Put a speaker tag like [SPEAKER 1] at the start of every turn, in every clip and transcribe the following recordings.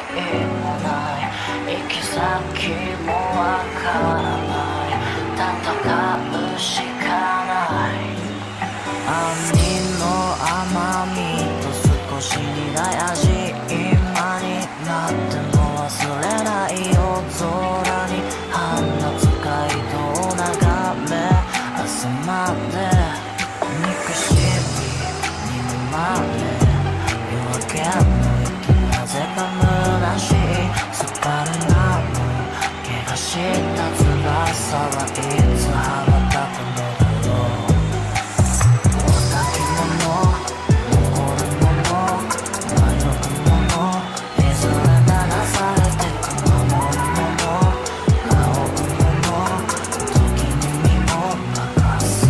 [SPEAKER 1] いもない行き先もわからない戦うしかない兄の甘みと少し苦い味今になっても忘れない夜空に放つ街いと眺め集まって憎しみまる夜明けのなぜか虚しいすっぱりなの怪我した翼はいつ羽ばたくのだろうお先物残るもの迷うものいずれらされてく守るもの仰ぐもの時に身をかす。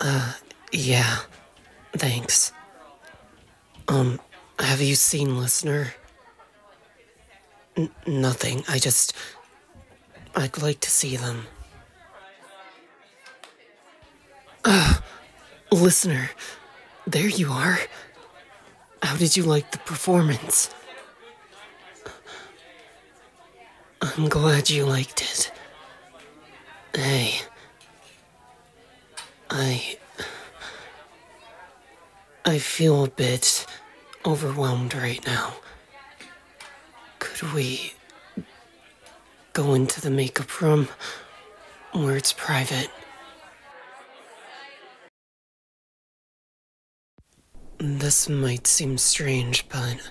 [SPEAKER 1] Uh, yeah. Thanks. Um, have you seen Listener? nothing. I just. I'd like to see them. Ah, uh, Listener. There you are. How did you like the performance? I'm glad you liked it. Hey. I. I feel a bit overwhelmed right now. Could we go into the makeup room where it's private? This might seem strange, but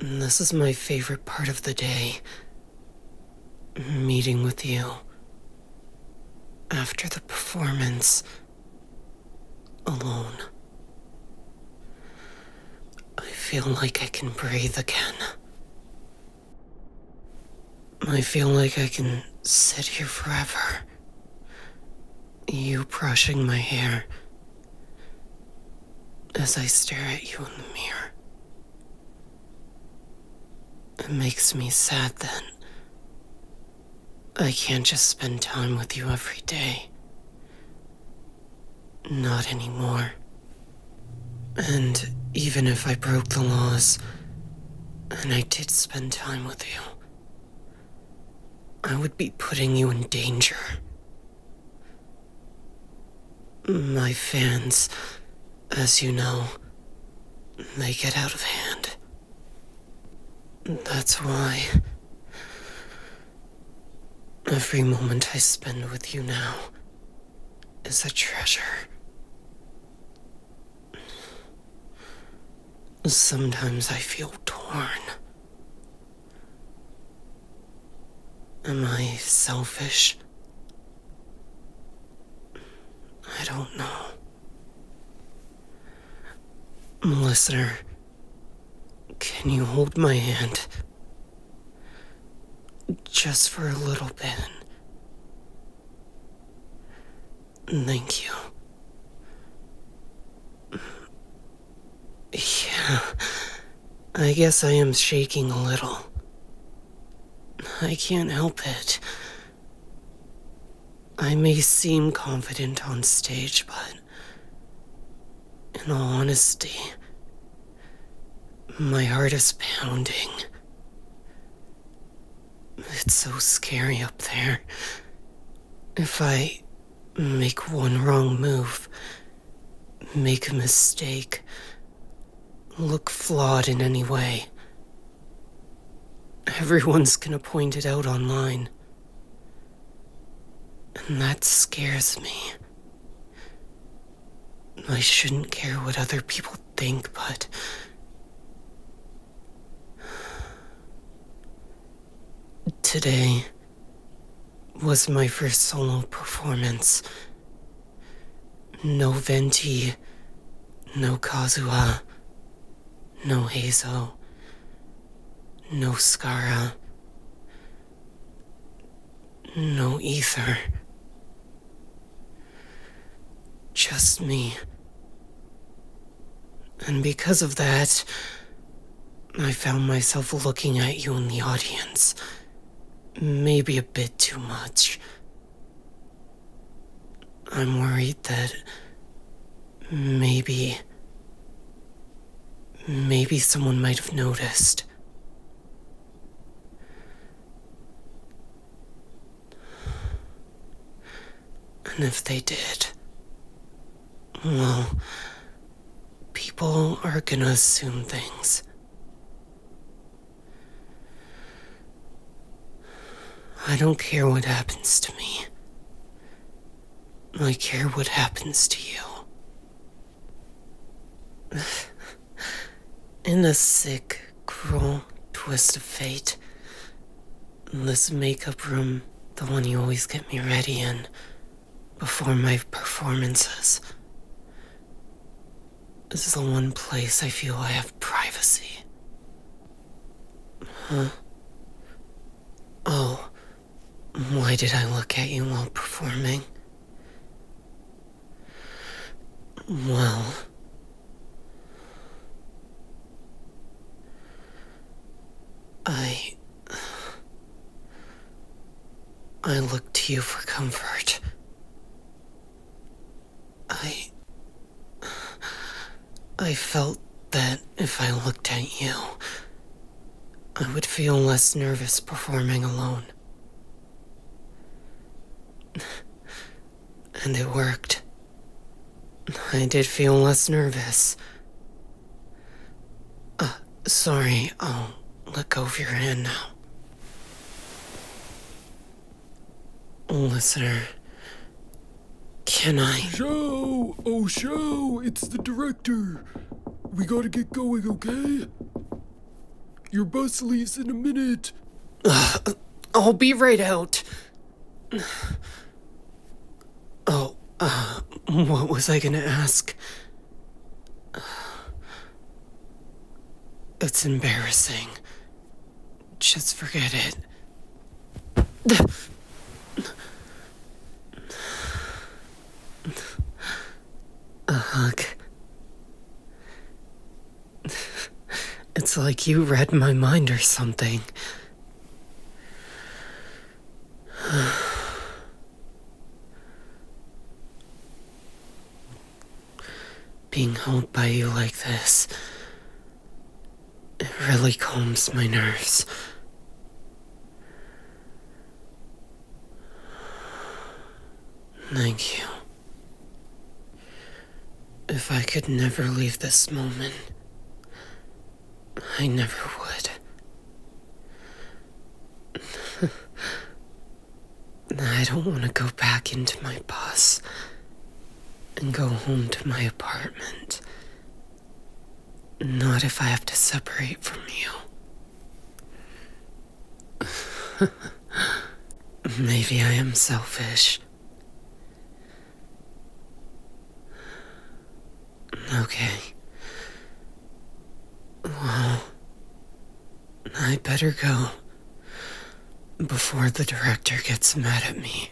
[SPEAKER 1] this is my favorite part of the day. Meeting with you. After the performance. Alone. I feel like I can breathe again. I feel like I can sit here forever. You brushing my hair as I stare at you in the mirror. It makes me sad Then I can't just spend time with you every day. Not anymore. And even if I broke the laws and I did spend time with you, I would be putting you in danger. My fans, as you know, they get out of hand. That's why. Every moment I spend with you now is a treasure. Sometimes I feel torn. Am I selfish? I don't know. Listener, can you hold my hand? Just for a little bit. Thank you. Yeah. I guess I am shaking a little. I can't help it. I may seem confident on stage, but in all honesty, my heart is pounding. It's so scary up there. If I Make one wrong move. Make a mistake. Look flawed in any way. Everyone's gonna point it out online. And that scares me. I shouldn't care what other people think, but Today was my first solo performance. No Venti, no Kazuha, no Hazel, no Skara, no Ether. Just me. And because of that, I found myself looking at you in the audience. Maybe a bit too much. I'm worried that maybe. Maybe someone might have noticed. And if they did, well, people are gonna assume things. I don't care what happens to me. I care what happens to you. In a sick, cruel twist of fate, this makeup room, the one you always get me ready in before my performances, this is the one place I feel I have privacy. Huh? Oh, why did I look at you while performing? Well, I. I look to you for comfort. I. I felt that if I looked at you, I would feel less nervous performing alone. And it worked. I did feel less nervous. Uh, sorry, I'll look over your hand now. Listener, can I?
[SPEAKER 2] Show! Oh, show! It's the director! We gotta get going, okay? Your bus leaves in a minute. Uh, I'll be right out.
[SPEAKER 1] Oh, uh, what was I gonna ask? It's embarrassing. Just forget it. A hug. It's like you read my mind or something. Being held by you like this, it really calms my nerves. Thank you. If I could never leave this moment, I never would. I don't want to go back into my bus and go home to my apartment. Not if I have to separate from you. Maybe I am selfish. Okay. Well, I better go before the director gets mad at me.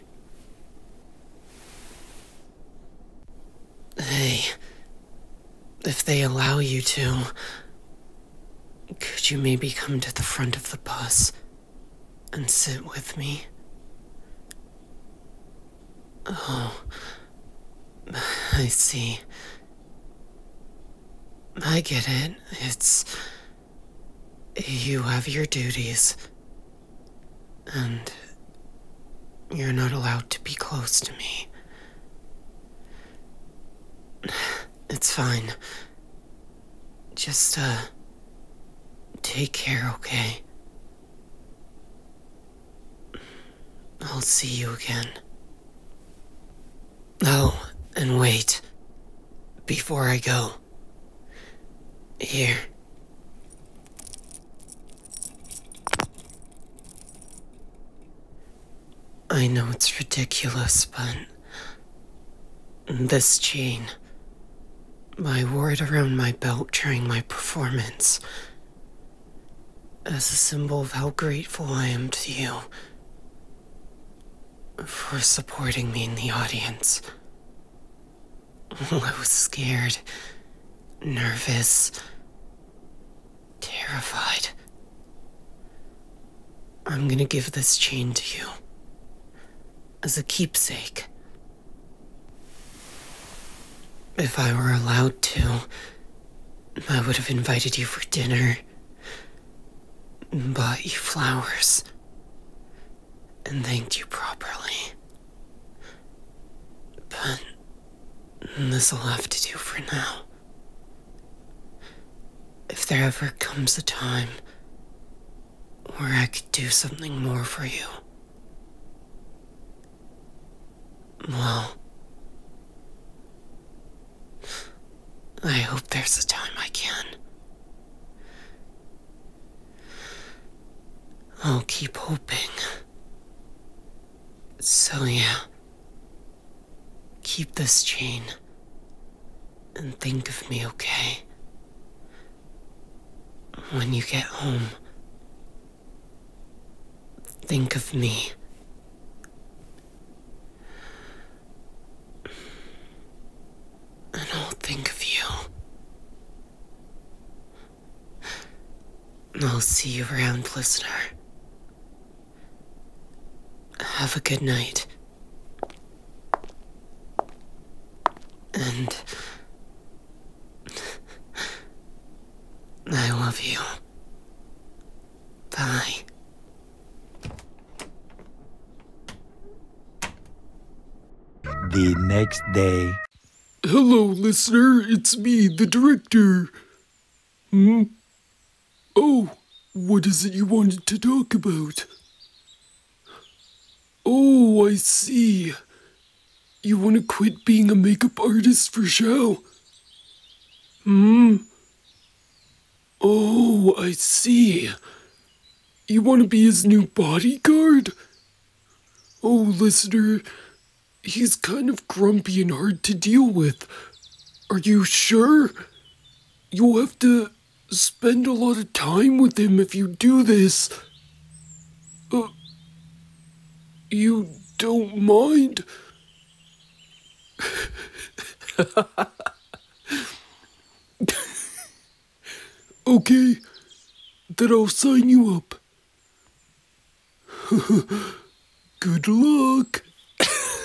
[SPEAKER 1] Hey, if they allow you to, could you maybe come to the front of the bus? and sit with me. Oh, I see. I get it. It's. You have your duties. And. You're not allowed to be close to me. It's fine. Just, uh. Take care, okay? I'll see you again. Oh, and wait. Before I go. Here. I know it's ridiculous, but chain. This chain. I wore it around my belt during my performance. As a symbol of how grateful I am to you for supporting me in the audience. I was scared, nervous, terrified. I'm gonna give this chain to you. As a keepsake. If I were allowed to, I would have invited you for dinner, bought you flowers, and thanked you properly. But this'll have to do for now. If there ever comes a time where I could do something more for you, well, I hope there's a time I can. I'll keep hoping. So, yeah. Keep this chain. And think of me, okay? When you get home, think of me. And I'll think of you. I'll see you around, listener. Have a good night. And I love you. Bye. The next day.
[SPEAKER 2] Hello, listener. It's me, the director. Hmm? Oh, what is it you wanted to talk about? Oh, I see. You want to quit being a makeup artist for show? Hmm? Oh, I see. You want to be his new bodyguard? Oh, listener, he's kind of grumpy and hard to deal with. Are you sure? You'll have to spend a lot of time with him if you do this. Uh, you don't mind? okay, then I'll sign you up. Good luck.